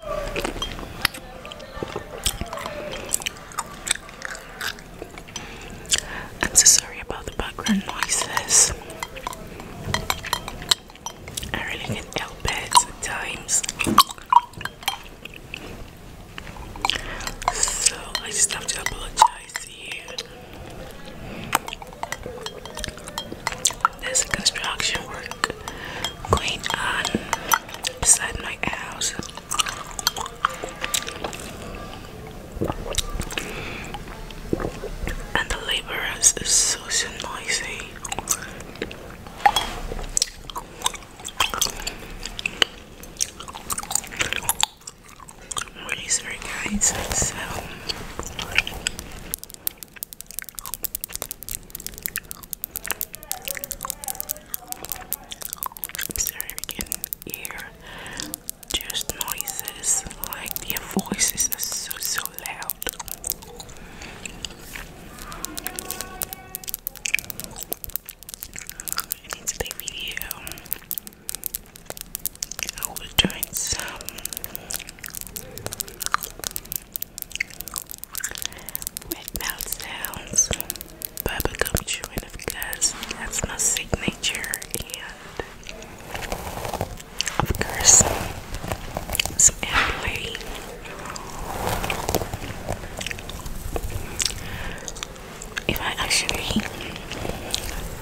I'm so sorry about the background noises. I really can't help it at So I just have to apologize to you. There's construction work going on um, beside my house. And the laborers is so, noisy. I'm really sorry guys, I'm American ear just noises like their voices are so so loud. And in video I will doing some McNaught sounds bubblegum chewing because that's my signature and of course some if I actually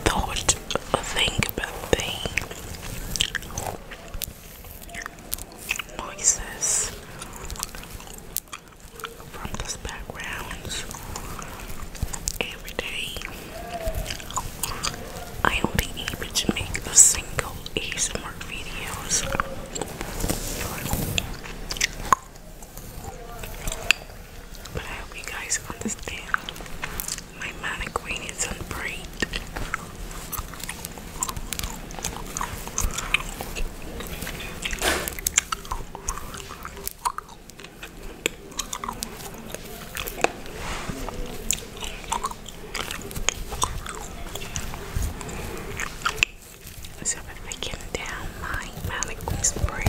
thought or think about the noises from this background every day. I am not able to make a single ASMR videos. But I hope you guys understand my mannequin is on braid. So if I can down my mannequin braid.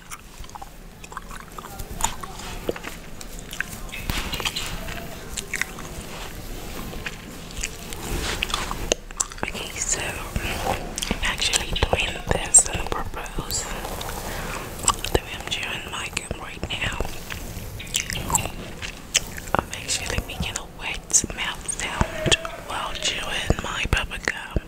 Okay, so I'm actually doing this and propose the way I'm right now. I'm actually making a wet mouth sound while chewing my bubble gum.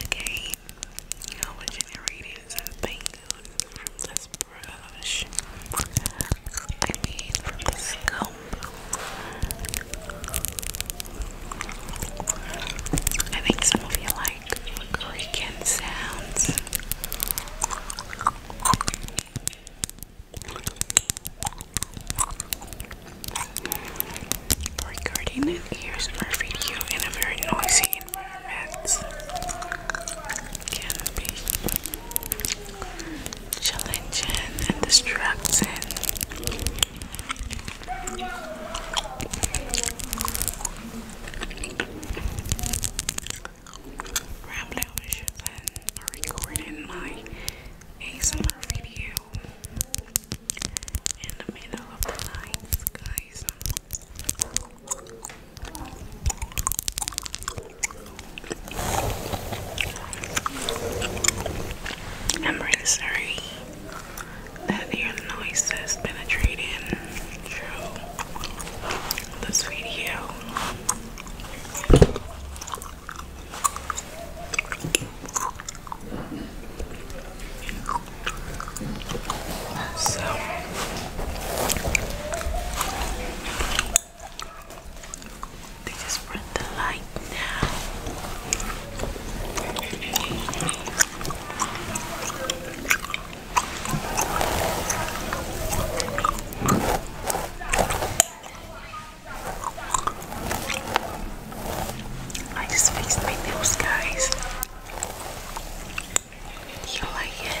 Okay, you know what is a paint from this brush. I mean, from this comb. I think some of you like creaking sounds. Recording in ears for video in a very noisy environments can be challenging and distracting. Rambling on the shoes and recording my ASMR video in the middle of the night, guys. I'm really sorry that your noise has penetrated through this video. So they just bring the light I just fixed my nails, guys. You like it?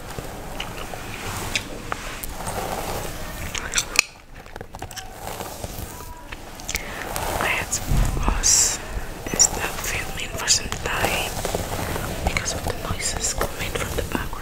I had was instead filming for some time because of the noises coming from the background.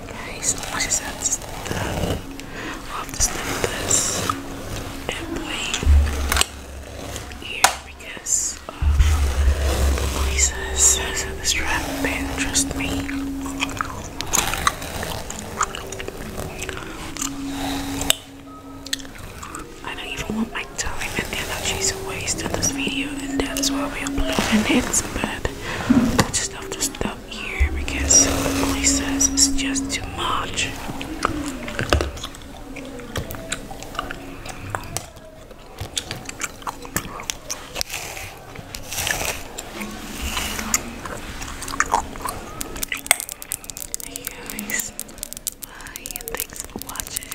Guys, what is that stuff of the slippers and play here? because uh, Lisa says that trust me. I don't even want my time and energy to waste on this video, and that's why we are playing it. But I just have to stop here because Lisa says it's just too much. Hey guys, thanks for watching.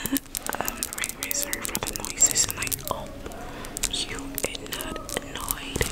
I'm very, sorry for the noises and I oh, you are not annoyed.